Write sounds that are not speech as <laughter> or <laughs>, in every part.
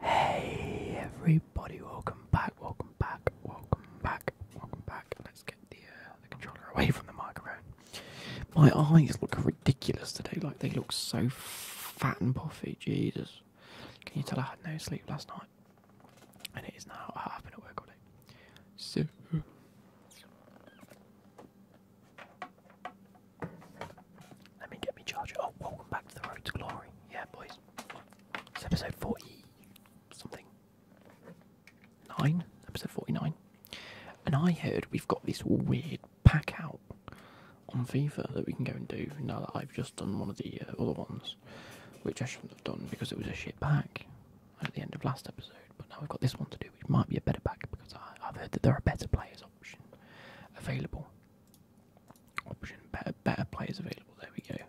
Hey everybody, welcome back, welcome back, welcome back, welcome back. Let's get uh, the, controller away from the microphone. My eyes look ridiculous today, like they look so fat and puffy, Jesus. Can you tell I had no sleep last night? And it is now, I've been at work all day. So... Let me get me charger. Oh, welcome back to the road to glory. Yeah, boys. It's episode 40 something. Nine? Episode 49. And I heard we've got this weird pack out on FIFA that we can go and do now that I've just done one of the uh, other ones, which I shouldn't have done because it was a shit pack at the end of last episode. But now we've got this one to do, which might be a better pack because I, I've heard that there are better players option available. Option better, players available. There we go.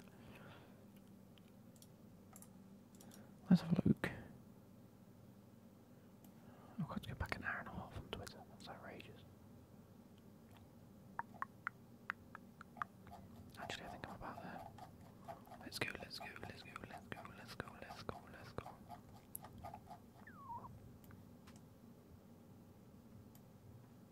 Let's have a look. I've oh, got to go back an hour and a half on Twitter. That's outrageous. Actually, I think I'm about there. Let's go, let's go, let's go, let's go, let's go, let's go, let's go.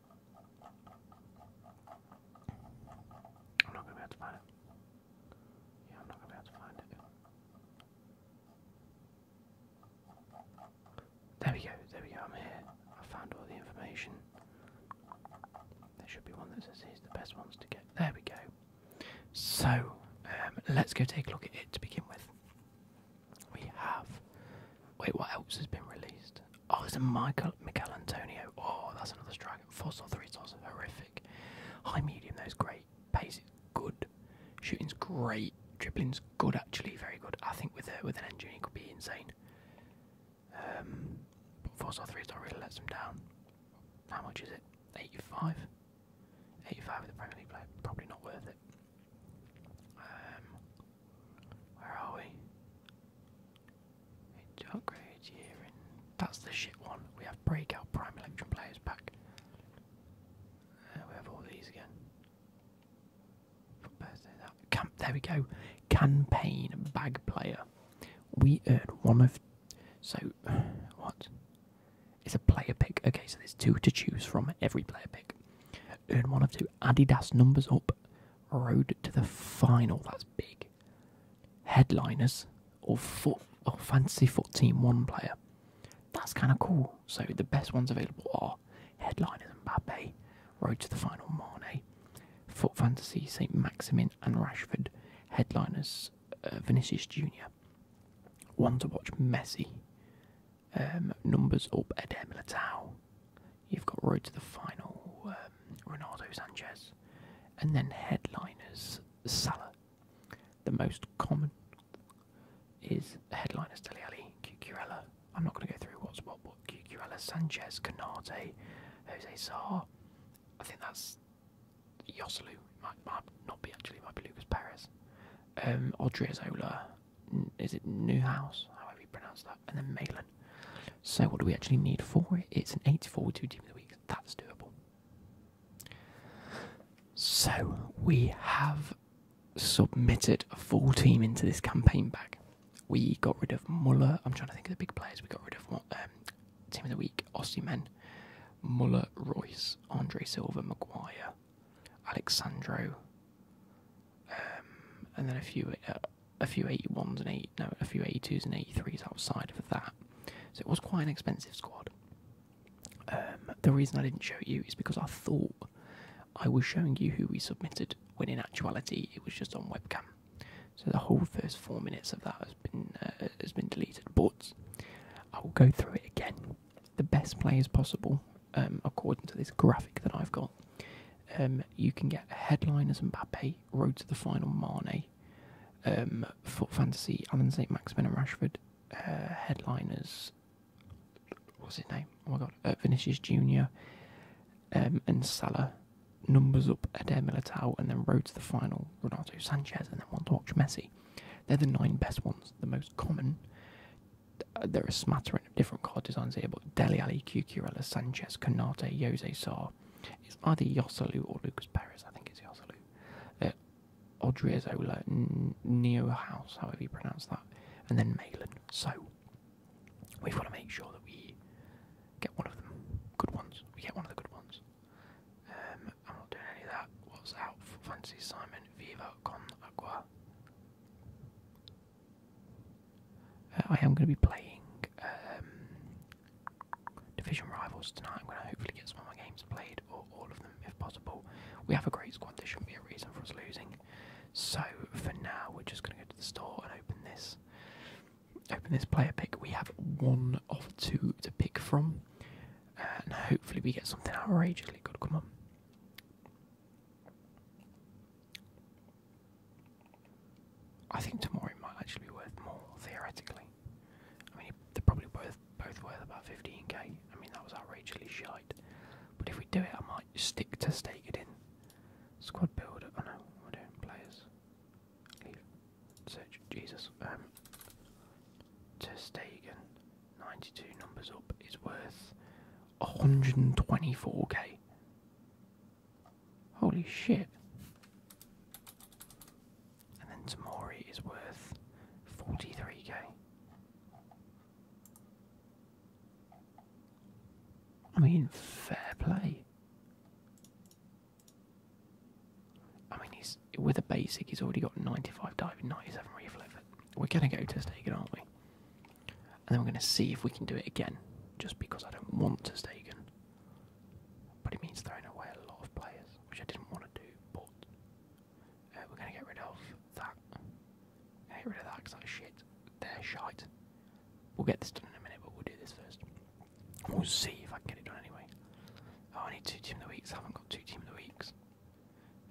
I'm not gonna be able to find it. Yeah, I'm not gonna be able to find it. There we go, there we go, I'm here. I found all the information. There should be one that says he's the best ones to get. There we go. So, um, let's go take a look at it to begin with. We have. Wait, what else has been released? Oh, there's a Michael Michael Antonio. Oh, that's another striker. Four star, three stars, horrific. High medium, though, is great. Pace is good. Shooting's great. Dribbling's good, actually, very good. I think with a, with an engine, he could be insane. Um, four star, three star really lets him down. How much is it? 85. 85 of the Premier League player. Probably not worth it. Um, where are we? It's upgrade here, that's the shit one. We have breakout prime election players back. Uh, we have all these again. there we go. Campaign bag player. We earn one of. So, <sighs> what? It's a player pick. Okay, so there's two to choose from every player pick. Earn one of two Adidas numbers up Road to the final. That's big. Headliners or foot or fantasy foot team one player. That's kind of cool. So the best ones available are headliners Mbappe, Road to the final Mane, Foot Fantasy Saint Maximin and Rashford, headliners uh, Vinicius Junior. One to watch Messi. Um, numbers up Edem Latau. You've got Road to the Final, um, Ronaldo Sanchez, and then headliners Salah. The most common is headliners Dele Alli, I'm not going to go through what's what, but Cucurella, Sanchez, Canate, Jose Sarr. I think that's Yoselu. Might, not be actually, might be Lucas Perez. Um, Odriozola, Mm, is it Newhouse, however you pronounce that, and then Malin. So what do we actually need for it? It's an 84 two team of the week. That's doable. So we have submitted a full team into this campaign bag. We got rid of Muller. I'm trying to think of the big players. We got rid of um, team of the week, Aussie men, Muller, Royce, Andre Silva, Maguire, Alexandro, um, and then a few uh, a few 81s and 8 no a few 82s and 83s outside of that so it was quite an expensive squad um, the reason i didn't show you is because i thought i was showing you who we submitted when in actuality it was just on webcam so the whole first four minutes of that has been uh, has been deleted but i will go through it again the best players possible um, according to this graphic that i've got um, you can get headliners Mbappe, Road to the Final Mane, um, Foot Fantasy, Alan St. Maximin and Rashford, uh, headliners, what's his name? Oh my god, uh, Vinicius Jr. Um, and Salah. Numbers up Adair Militao and then Road to the Final, Ronaldo Sanchez, and then One to Watch Messi. They're the nine best ones, the most common. Uh, they are a smattering different card designs here, but Deli Ali, Cucurella, Sanchez, Canate, Jose Sar. It's either Yosolu or Lucas Perez, I think it's Yosolu. Uh, Odriozola, Neo House, however you pronounce that, and then Malin. So, we've got to make sure that we get one of them. Good ones. We get one of the good ones. Um, I'm not doing any of that. What's out for Fancy Simon? Viva con Agua. Uh, I am going to be playing um, Division Rivals tonight. I'm going to hopefully get some of my games played, or all of them if possible. We have a great squad, there shouldn't be a reason for us losing. So for now, we're just going to go to the store and open this. Open this player pick. We have one of two to pick from, and hopefully we get something outrageously good. Come on, I think tomorrow it might actually be worth more theoretically. I mean, they're probably both both worth about 15k. I mean, that was outrageously shite. But if we do it, I might stick to stake it in. Squad builder. Oh no, we're doing players. Search. Jesus. Um. To Stegen, 92 numbers up is worth 124k. Holy shit. And then Tamori is worth 43k. I mean, fair play. I mean, he's with a basic, he's already got 95 diving, 97 reflex. We're going to go to Testagan, aren't we? and then we're going to see if we can do it again, just because I don't want to stay Stegen. But it means throwing away a lot of players, which I didn't want to do, but uh, we're going to get rid of that. Get rid of that because that's shit. They're shite. We'll get this done in a minute, but we'll do this first. We'll see if I can get it done anyway. Oh, I need two Team of the Weeks. I haven't got two Team of the Weeks.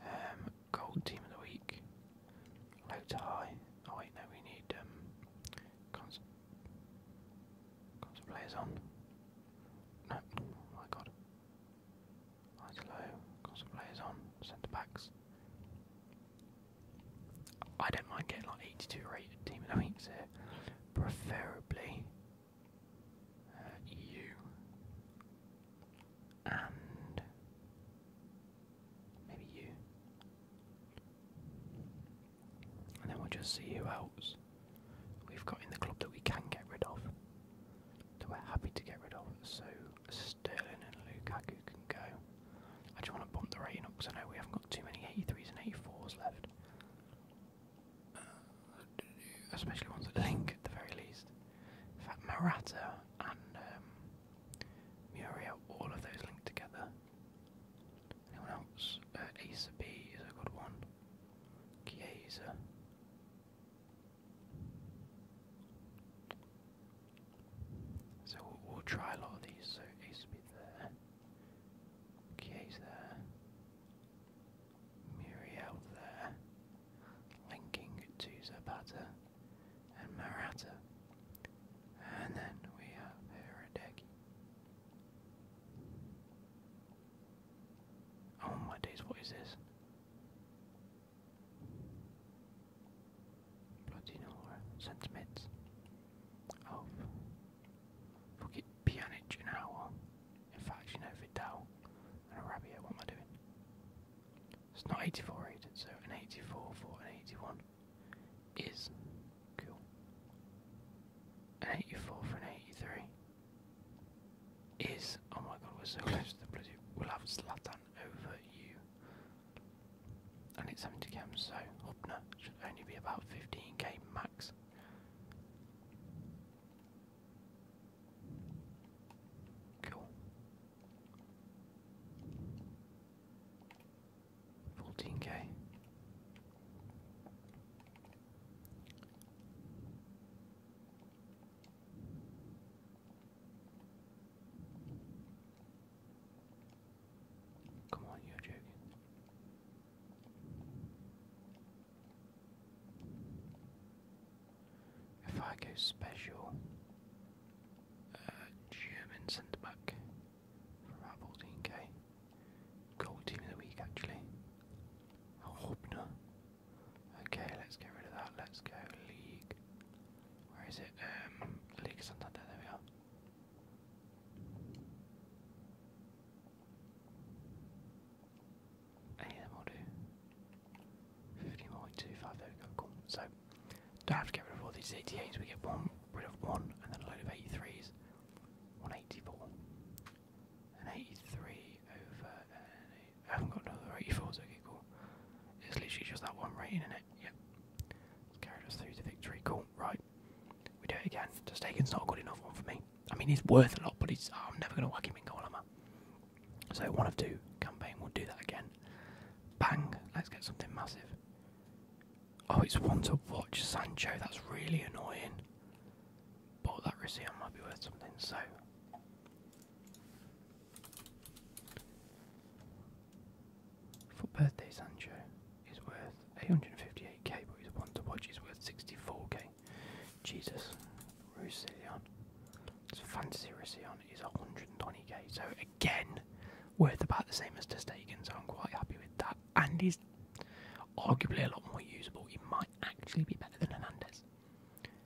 Um, gold Team of the Week. Low to high. Oh wait, no, we need um, Cons on. No, oh my god. Eyes low, console on, centre backs. I don't mind getting like 82 rated team of the week here. Preferably uh, and maybe you. And then we'll just see who else we've got in the club that we can get rid of, that we're happy to get rid of. So Sterling and Lukaku can go. I just want to bump the rating up because I know we haven't got too many 83s and 84s left. especially ones that link at the very least. In fact, Maratta and um, Muriel, all of those linked together. Anyone else? Uh, Acer B is a good one. Chiesa. So we'll, we'll try a lot of these. So Acer B there. Chiesa there. Muriel there. Linking to Zapata and Marata. And then we have Heredeki. Oh my days, what is this? Platinora sends meds. Oh. Forget Pjanic and Owl. In fact, you know, Vidal and Rabia, what am I doing? It's not 84 rated, so an 84 for an 81 is An 84 for an 83 is. Oh my god, we're so close to the bloody. We'll have Zlatan over you. And it's 70 cams, so Hubner should only be about 15 game max. Cool. 14k. Come on, you're joking. If I go special, uh, German centre back, for 14k. Gold team of the week, actually. Hobner. Okay, let's get rid of that. Let's go league. Where is it? Um, League Santander. There we are. Any of will do. 15.25, there we go, So, don't have to get rid of all these 88s, we get one rid of one and then a load of 83s. 184. An 83 over. Uh, I haven't got another 84, so okay, cool. It's literally just that one right in it, yep. It's carried us through to victory, cool, right. We do it again. Just Tostaken's not a good enough one for me. I mean, he's worth a lot, but he's, I'm never going to whack him in goal, am I? So, one of two campaign, we'll do that again. Bang, let's get something massive. Oh, it's one to watch, Sancho. That's really annoying. But that receipt might be worth something, so. For birthday, Sancho is worth 858k, but his one to watch is worth 64k. Jesus. Roussillon. It's fantasy Roussillon is 120k. So again worth about the same as Testagan, so I'm quite happy with that. And he's arguably a lot more usable. He might actually be better than Hernandez.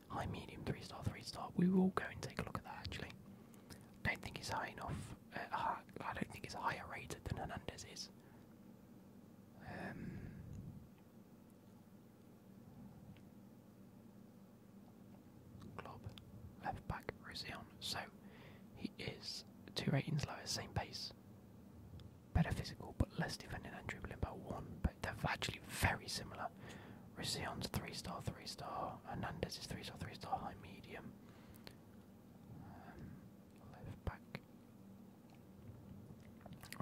High medium, three star, three star. We will go and take a look at that actually. I don't think he's high enough. Uh, I don't think he's higher rated than Hernandez is. Um, left back, Rosion so he is two ratings lower, same pace. Better physical, but less defending than dribbling by one. But they're actually very similar. Risson's three star, three star. Hernandez is three star, three star, high medium. Um, left back.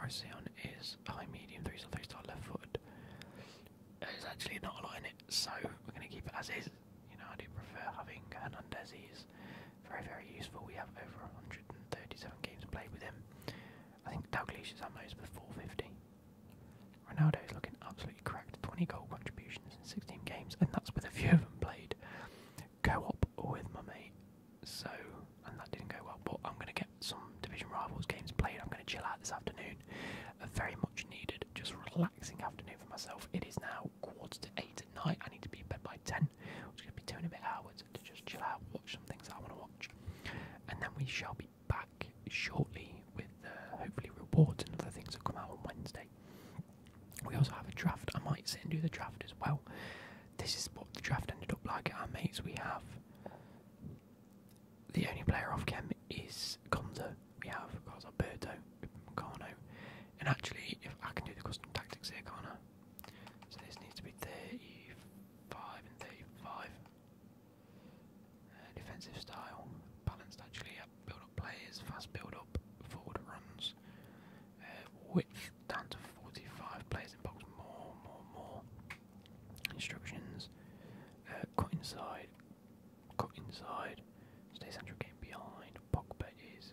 Rosillon is high medium, three star, three star, left foot. It's actually not a lot in it, so we're going to keep it as is. You know, I do prefer having Hernandez. He's very, very useful. We have over 137 games played with him. I think Dalglish is at most with 450. Ronaldo is looking absolutely cracked. 20 goal contributions in 16 games, and that's with a few of them played co-op with my mate. So, and that didn't go well. But I'm going to get some division rivals games played. I'm going to chill out this afternoon. A very much needed, just relaxing afternoon for myself. It is now quarter to eight at night. I need to be in bed by ten. I'm just gonna be doing a bit hours to just chill out, watch some things I want to watch, and then we shall be back shortly with uh, hopefully rewards and other things that come out on Wednesday. We also have a draft. I might sit and do the draft as well. This is what the draft ended up like at our mates. We have the only player off chem is Gonza, we have, of course, Alberto, Carno. And actually, if I can do the custom tactics here, can't I? So this needs to be 35 and 35. Uh, defensive style, balanced actually, yeah. build up players, fast build up, forward runs. Uh, width down to 45, players in box, more, more, more. Instructions, uh, cut inside, cut inside, stay central game behind, Pogba is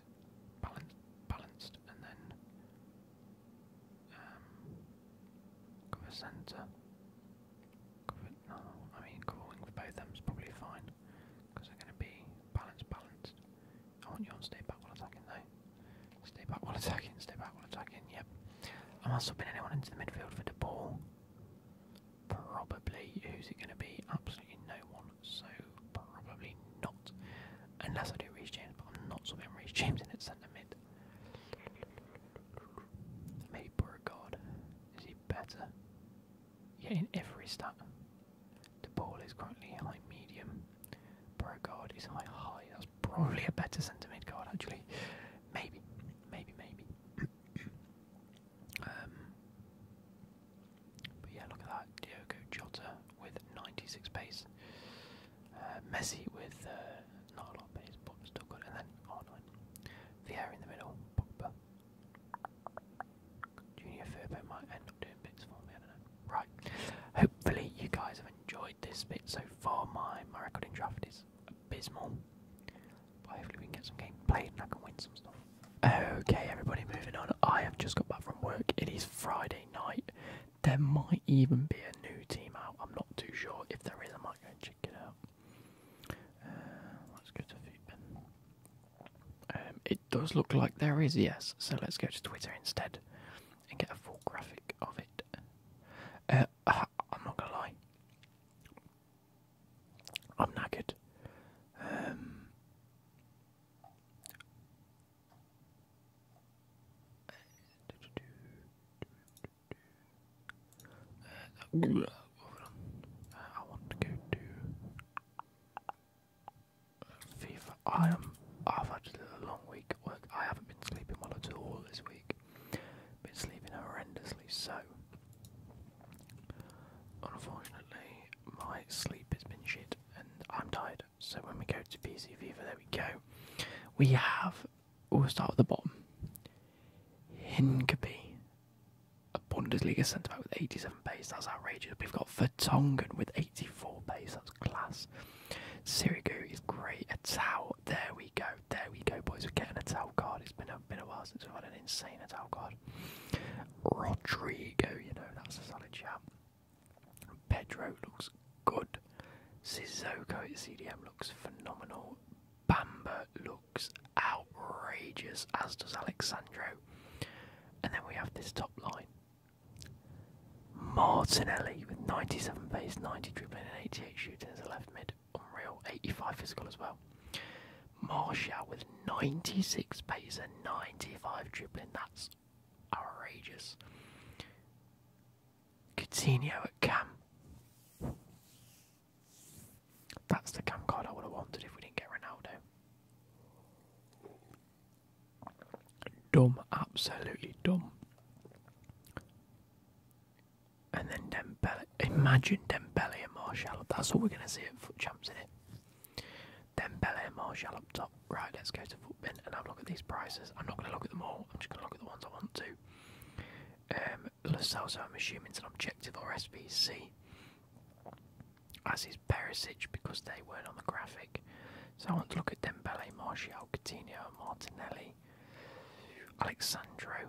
balanced, balanced and then um, cover centre. Cover, no, I mean covering with both them is probably fine because they're going to be balanced, balanced. I oh, want you on stay back while attacking though. Stay back while attacking, stay back while attacking, yep. I'm not subbing anyone into the midfield for the ball. Probably. Who's it going to be? Absolutely no one. So probably not. Unless I do reach James, but I'm not swapping Reece James in at centre mid. Maybe Beauregard. Is he better? Yeah, in every stat. The ball is currently high medium. Beauregard is high high. That's probably a better centre mid card actually. Maybe. Maybe, maybe. <coughs> um but yeah, look at that. Diogo Jota with 96 pace. Uh, Messi with uh, not a lot pace, but still good. And then 9 Vieira in the middle. Junior Firpo might end up doing bits for me, I don't know. Right. Hopefully you guys have enjoyed this bit so far. My, my record draft is abysmal. But hopefully we can get some game played and I can win some stuff. Okay, everybody, moving on. I have just got back from work. It is Friday night. There might even be a new team out. I'm not too sure. If there is, I might go and check it out. Uh, let's go to Footbin. Um, it does look like there is, yes. So let's go to Twitter instead and get a full graphic of it. Uh, <laughs> I'm not gonna lie. I'm knackered. Um, I want to go to FIFA. I am. i a long week at work. I haven't been sleeping well at all this week. Been sleeping horrendously, so unfortunately, my sleep has been shit and I'm tired. So when we go to PC Viva, there we go. We have, we'll start at the bottom. Hincapie, a Bundesliga centre back with 87 pace, that's outrageous. We've got Vertonghen with 84 pace, that's class. Sirigu is great. A towel, there we go, there we go, boys. We're getting a towel card. It's been a, been a while since we've had an insane towel card. Rodrigo, you know, that's a solid shout. Pedro looks good. Sissoko his CDM looks phenomenal. Bamba looks outrageous, as does Alexandro. And then we have this top line. Martinelli with 97 pace, 90 dribbling and 88 shooting as a left mid. Unreal. 85 physical as well. Marshall with 96 pace and 95 dribbling. That's outrageous. Coutinho at Cam. That's the Cam card I would have wanted if we didn't get Ronaldo. Dumb, absolutely dumb. And then Dembele. Imagine Dembele and Marshall. That's all we're going to see at foot champs, in it? Then Bel Air Martial up top. Right, let's go to Footbin and have a look at these prices. I'm not going to look at them all, I'm just going to look at the ones I want to. Um, Lo Celso, I'm assuming it's an objective or SBC. As is Perisic because they weren't on the graphic. So I want to look at Dembele, Martial, Coutinho, Martinelli, Alexandro.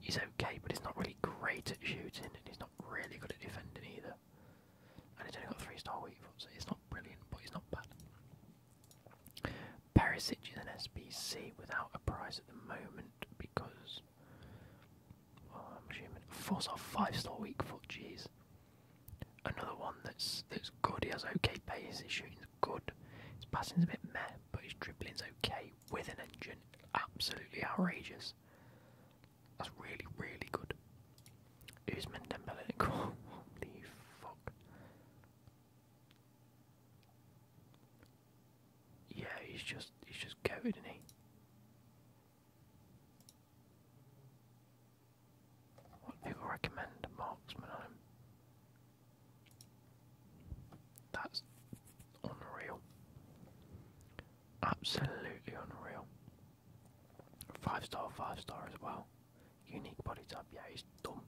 he's okay, but he's not really great at shooting, and he's not really good at defending either. And he's only got three star weak foot, so he's not brilliant, but he's not bad. Perisic is an SBC without a price at the moment because, well, I'm assuming four off five star weak foot. Jeez, another one that's that's good. He has okay pace. he's shooting good. His passing's a bit meh, but his dribbling's okay with an engine. Absolutely outrageous. That's really, really good. Usman Dembele <laughs> Holy fuck. Yeah, he's just he's just goaded, isn't he? What people recommend? Marksman on him. That's unreal. Absolutely unreal. Five star, five star as well. Unique body type, yeah, he's dumb.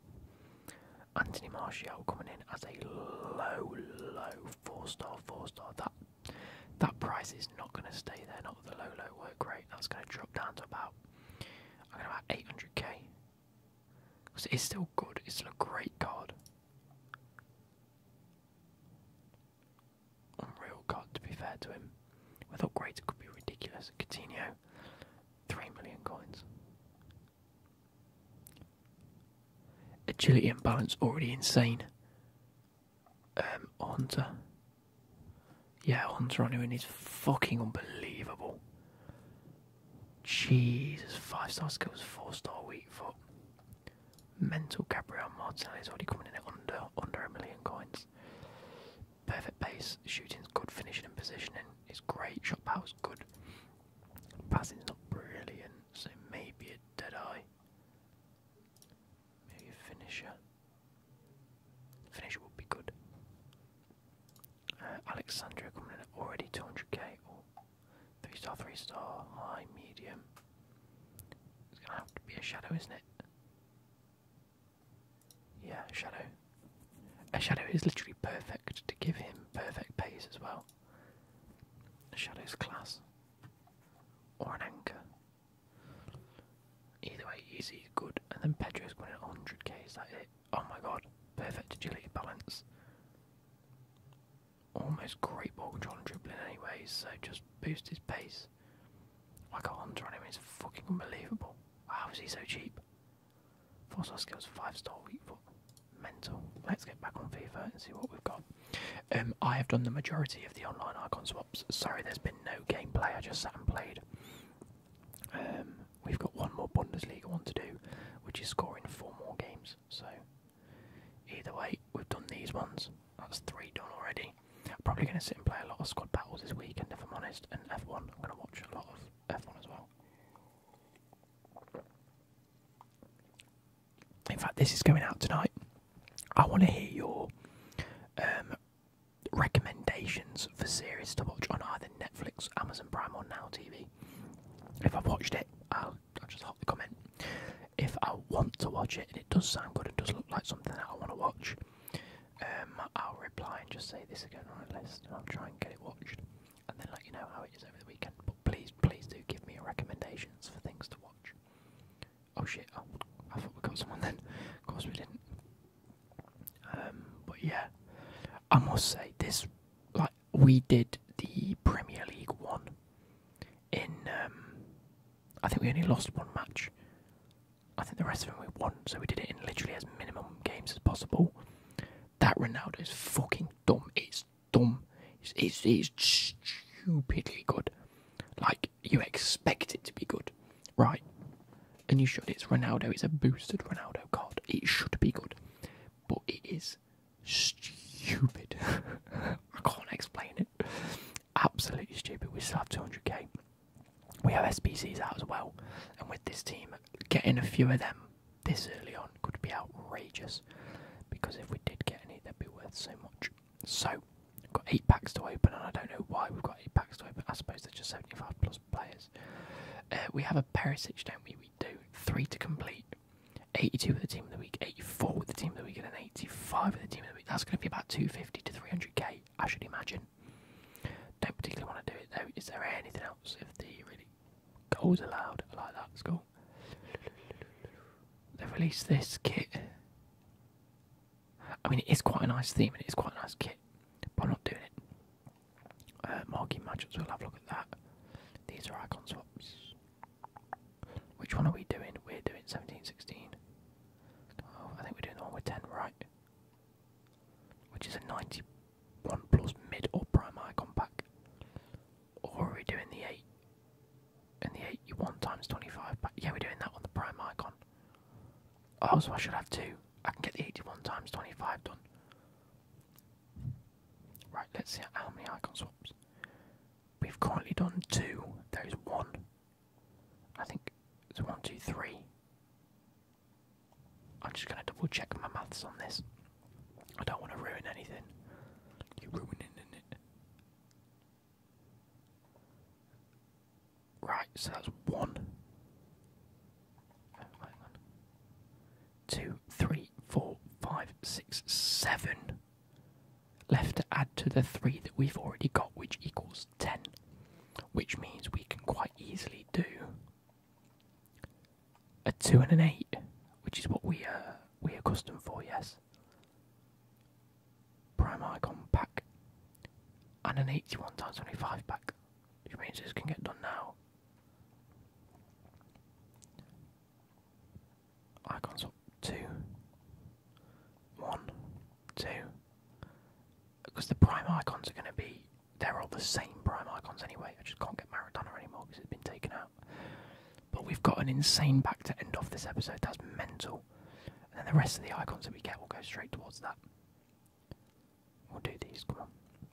Anthony Martial coming in as a low, low four star, four star. That that price is not going to stay there, not with the low, low work rate. That's going to drop down to about, I'm going to about 800k. Because it's still good, it's still a great card. Unreal card, to be fair to him. I thought great could be ridiculous. Coutinho, 3 million coins. Agility and balance already insane. Um, Hunter. Yeah, Hunter on him and he's fucking unbelievable. Jesus, five star skills, four star weak foot. Mental Gabriel Martinelli's already coming in at under under a million coins. Perfect base. shooting's good, finishing and positioning is great, shot power's good. Passing's not brilliant, so maybe a dead eye. Maybe a finisher. Finisher would be good. Uh, coming in at already 200k. 3 star, 3 star, high, medium. It's gonna have to be a shadow, isn't it? Yeah, shadow. A shadow is literally perfect to give him perfect pace as well. A shadow's class. Or an anchor. Either way, easy, good. And then Pedro's going at 100k, is that it? Oh my god, perfect agility balance. Almost great ball control and dribbling anyway, so just boost his pace. Like a hunter on him It's fucking unbelievable. How is he so cheap? Four Fossil skills five star weak foot. Mental. Let's get back on FIFA and see what we've got. Um, I have done the majority of the online icon swaps. Sorry, there's been no gameplay. I just sat and played. Um, we've got one more Bundesliga one to do, which is scoring four more games. So either way, we've done these ones. That's three done already. probably going to sit and play a lot of squad battles this weekend, if I'm honest, and F1. I'm going to watch a lot of F1 as well. In fact, this is going out tonight. I want to hear your um, recommendations for series to watch on either Netflix, Amazon Prime, or Now TV. If I've watched it, I'll I'll, just hotly comment. If I want to watch it and it does sound good and does look like something that I want to watch, um, I'll reply and just say this is going on my list and I'll try and get it watched and then let you know how it is over the weekend. But please, please do give me your recommendations for things to watch. Oh shit, oh, I thought we got someone then. Of course we didn't. Um, but yeah, I must say, this, like, we did the Premier League one in. Um, I think we only lost one match. I think the rest of them we won, so we did it in literally as minimum games as possible. That Ronaldo is fucking dumb. It's dumb. It's, it's, stupidly good. Like, you expect it to be good, right? And you should. It's Ronaldo. It's a boosted Ronaldo card. It should be good. But it is stupid. <laughs> I can't explain it. Absolutely stupid. We still have 200k. We have SPCs out as well, and with this team, getting a few of them this early on could be outrageous. Because if we did get any, they'd be worth so much. So, we've got eight packs to open, and I don't know why we've got eight packs to open. I suppose they're just 75 plus players. Uh, we have a Perisic, don't we? We do. Three to complete. 82 with the team of the week, 84 with the team of the week, and an 85 with the team of the week. That's going to be about 250 to 300k, I should imagine. Don't particularly want to do it though. Is there anything else if the really goals allowed? I like that. It's cool. They've released this kit. I mean, it is quite a nice theme and it is quite a nice kit, but I'm not doing it. Uh, marking matchups, we'll have a look at that. These are icon swaps. Which one are we doing? We're doing 17, 16. I think we're doing the one with 10, right? Which is a 91 plus mid or prime icon pack. Or are we doing the 8? And the 81 times 25 But Yeah, we're doing that one, the prime icon. Oh, so I should have two. I can get the 81 times 25 done. Right, let's see how many icon swaps. We've currently done two. There is one. I think it's one, two, three. I'm just going to double check my maths on this. I don't want to ruin anything. You're ruining it. Right, so that's one. Oh, two, three, four, five, six, seven left to add to the three that we've already got, which equals 10, which means we can quite easily do a two and an eight, which is what we uh, are we accustomed for, yes. Prime icon pack and an 81 times 25 pack, which means this can get done now. Icons up. Because the prime icons are going to be. They're all the same prime icons anyway. I just can't get Maradona anymore because it's been taken out. But we've got an insane back to end off this episode. That's mental. And the rest of the icons that we get will go straight towards that. We'll do these. Come on.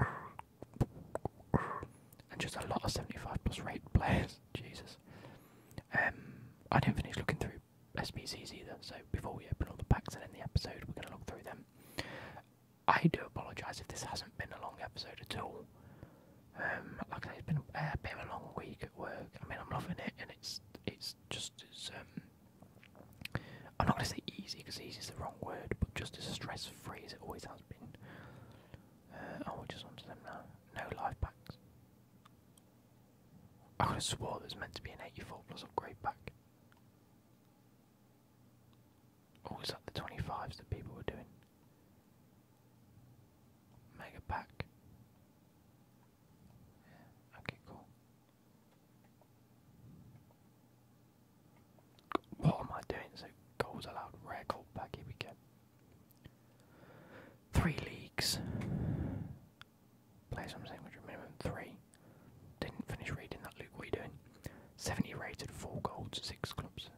and just a lot of 75 plus rate players. <laughs> Jesus. Um, I didn't finish looking through SPCs either, so before we open all the packs and end the episode, we're going to look through them. I do apologise if this hasn't been a long episode at all. Um, like I say, been a, bit of a long week at work. I mean, I'm loving it, and it's it's just as um, I'm not going to say easy because easy is the wrong word, but just as stressful this it always has been. Uh, oh, just onto them now. No life packs. I could have swore there's meant to be an 84 plus upgrade pack. Or oh, was the 25s that people were doing? Mega pack. okay, cool. What am I doing? So goals allowed, rare goal back, here we go. Three leagues. Players from the same country, minimum three. Didn't finish reading that, Luke, what are you doing? 70 rated, four golds, six clubs.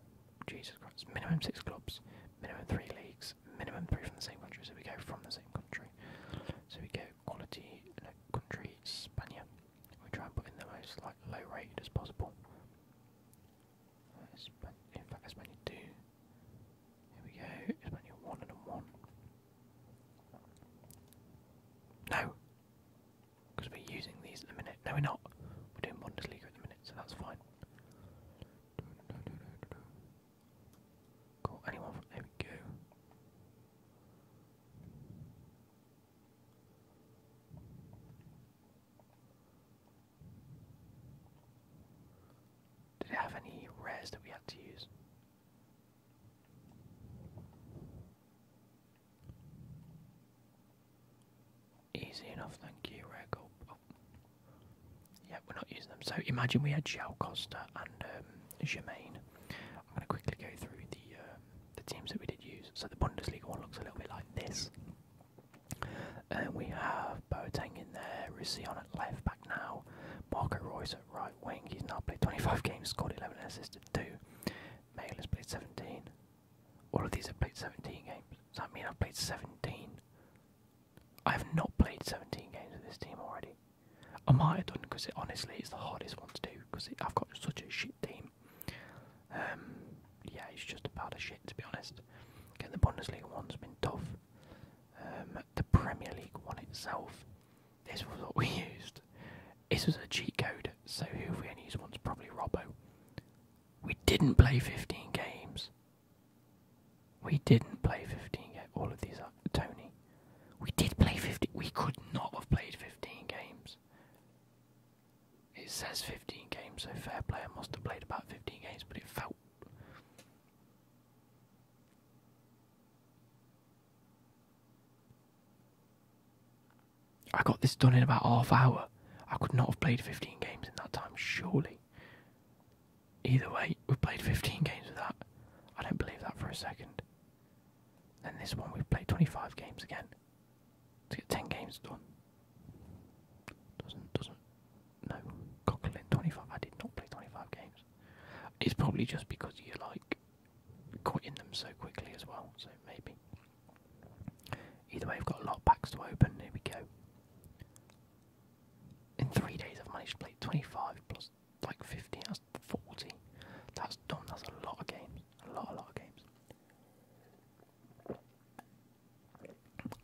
Jesus Christ, minimum six clubs, minimum three leagues, minimum three from the same country, so we go from the same country. So we go quality, no, country, Spania. We try and put in the most like low rated as possible. In fact, Espana two. Here we go. Espana one and a one. No, because we're using these at the minute. No, we're not. We're doing Bundesliga at the minute, so that's fine. Cool. Anyone there we go. Did it have any rares that we had to use? Easy enough, thank you, rare oh. Yeah, we're not using them. So imagine we had Xiao Costa and um, Germain. I'm going to quickly go through the uh, the teams that we did use. So the Bundesliga one looks a little bit like this. And we have Boateng in there, on at left back now, Marco Royce at right wing. He's now played 25 games, scored 11 and 2. Male has played 17. All of these have played 17 games. Does that mean I've played 17? I have not played 17 games with this team already. I might have done because it, honestly it's the hardest one to do because I've got such a shit team. Um, yeah, it's just a pile of shit to be honest. Again, the Bundesliga one's been tough. Um, the Premier League one itself, this was what we <laughs> used. This was a cheat code, so who we only used once? Probably Robbo. We didn't play 15 games. We didn't play 15 games. All of these are uh, Tony. We did play 15. We could not have played 15 games. It says 15 games, so fair player must have played about 15 games, but it felt. I got this done in about half hour. I could not have played 15 games in that time, surely. Either way, we have played 15 games with that. I don't believe that for a second. Then this one, we've played 25 games again to get ten games done. Doesn't doesn't no Coughlin twenty five. I did not play twenty five games. It's probably just because you like quitting them so quickly as well. So maybe. Either way, I've got a lot of packs to open. Here we go. In three days, I've managed to play twenty five plus like fifty. That's forty. That's done. That's a lot of games. A lot, a lot of games.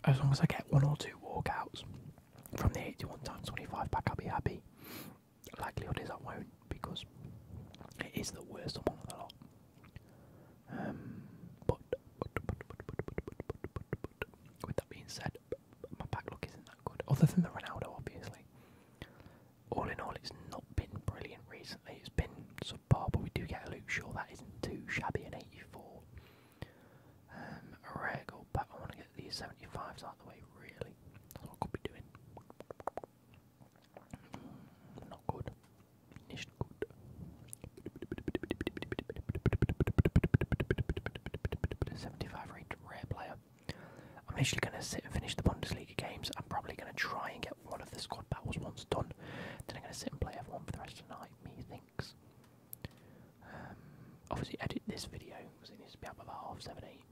As long as I get one or two walkouts from the 81 times 25 pack, I'll be happy. Likelihood is I won't because it is the worst among the lot. but, with that being said, my back look isn't that good, other than the Ronaldo, obviously. All in all, it's not been brilliant recently. It's been sort but we do get a Luke Shaw. That isn't too shabby in 84. Um, a rare gold pack. I want to get these 75s out the way, really. what could be doing. not good. Nicht good. Seventy-five rate rare player. I'm actually going to sit and finish the Bundesliga games. I'm probably going to try and get one of the squad battles once done, then I'm going to sit and play everyone for the rest of the night, methinks. Um, obviously, edit this video because it needs to be up about half seven, eight.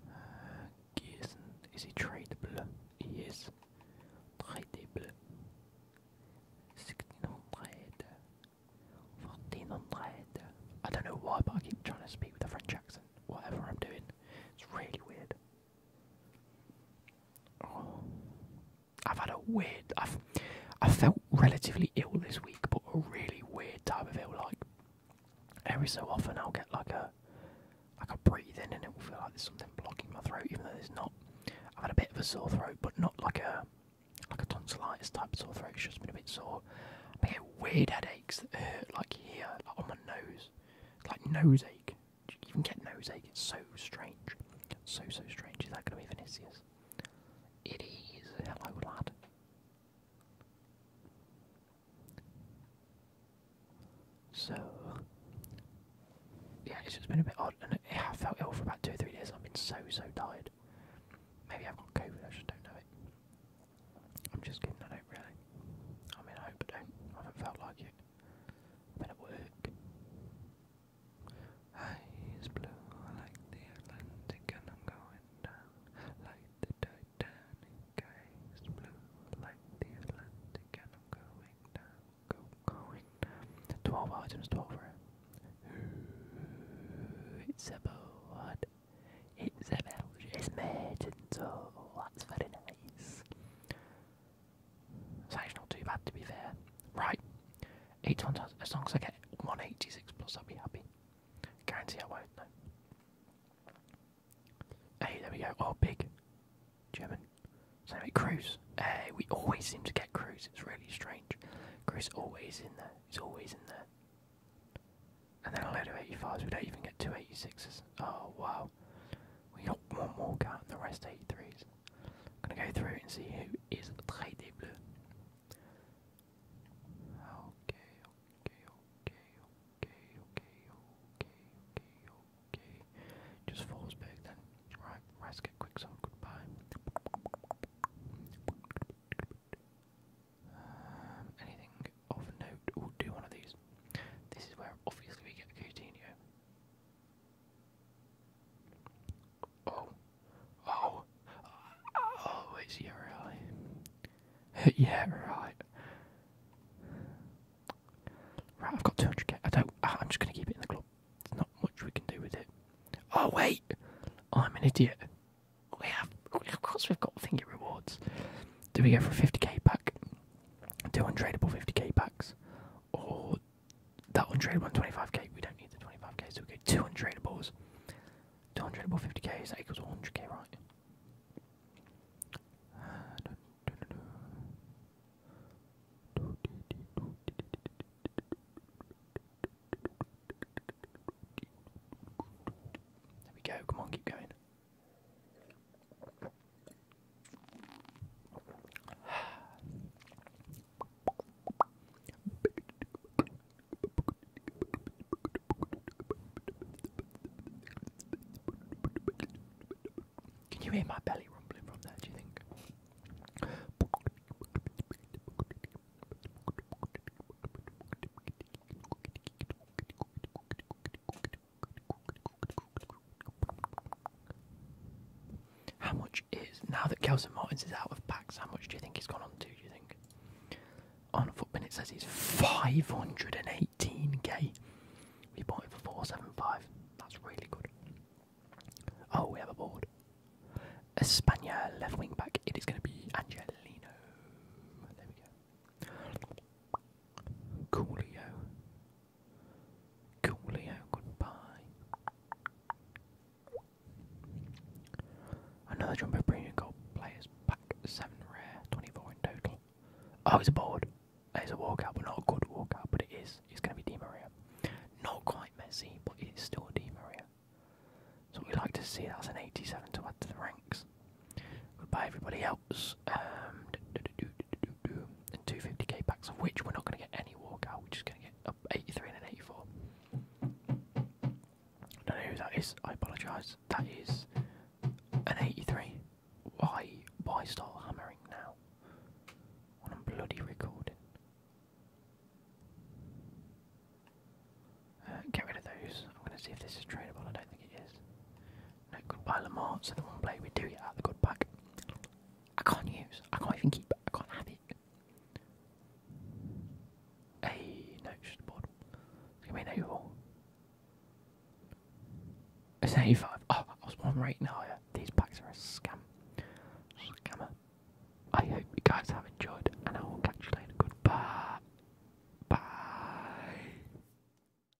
Uh, is he tradable? He is. Tradable. 1600. 1400. I don't know why, but I keep trying to speak with a French accent, whatever I'm doing. It's really weird. Oh. I've had a weird. I've I felt relatively ill this week, but a really weird type of ill. Like every so often, I'll get like a like a breathing, and it will feel like there's something blocking my throat, even though there's not. I've had a bit of a sore throat, but not like a like a tonsillitis type sore throat. It's just been a bit sore. I get weird headaches that hurt, like here, like on my nose this. It's like noseache. Do you even get noseache? It's so strange. So, so strange. Is that going to be Venetius? It is. Hello, lad. So, yeah, it's just been a bit odd, and yeah, I felt ill for about two or three days. I've been so, so tired. Maybe I've got COVID, I just don't know it. I'm just kidding, I don't really. I mean, I hope I don't. I haven't felt like it. I've been at work. Eyes blue like the Atlantic, and I'm going down like the Titanic. Eyes blue like the Atlantic, and I'm going down, go, going down. 12 items, 12 rare. Ooh, it's a board. It's a Belgian merchant, so that's very nice. It's actually not too bad to be fair. Right, 81 As long as I get 186 plus, I'll be happy. Guarantee I won't, no. Hey, there we go. Oh, big. German. So anyway, Cruz. Hey, eh, we always seem to get Cruz. It's really strange. Cruz always in there. It's always in there. And then a load of 85s. We don't even get two eighty-sixes. Oh, wow. We got one walker and the rest 83s. I'm gonna go through and see who is Très des blue. Okay, okay, okay, okay, okay, okay, okay, okay. Just Forsberg then. Right, let's get quick some goodbye. Um, anything of note. We'll do one of these. This is where obviously we get Coutinho. Oh, oh, oh! It's yeah, <laughs> really. yeah, right. Right, I've got 200k. I don't. I'm just gonna keep it in the club. There's not much we can do with it. Oh wait, I'm an idiot. We have, of course, we've got thingy rewards. Do we go for a 50k pack? two untradeable 50k packs, or that untradeable one 25k. We don't need the 25k, so we get two untradeables, 200 untradeable 50 k is That equals 100k, right? There we go. Come on, keep going. Can you hear my belly rumbling from there, do you think? How much is now that Kelson Martins is out of packs? How much do you think he's gone on to? Do you think? On footman, it says he's five hundred and eighteen k. We bought it for four seven five. That's really good. Oh, we have a board. Espana left wing back. It is going to be Angelino. There we go. Coolio. Coolio, goodbye. Another jumbo premium gold players pack, 7 rare, 24 in total. Oh, it's a board. It's a walkout, but not a good walkout, but it is. It's going to be Demaria. Not quite messy, but it's still Demaria. So we like to see that's an 87 to add to the ranks. Goodbye, everybody else. Um, and 250k packs, of which we're not going to get any walkout. We're just going to get up 83 and an 84. I don't know who that is. I apologise. That is an 83. Why? Why start hammering now? When I'm bloody recording. Uh, get rid of those. I'm going to see if this is tradable. I don't think it is. No good pile so the one play we do get out the good pack. I can't use. I can't even keep it. I can't have it. Hey, no, it's just the board. It's gonna be an It's 85. Oh, I was one rating higher. These packs are a scam. Scammer. I hope you guys have enjoyed, and I will catch you later. Goodbye. Bye.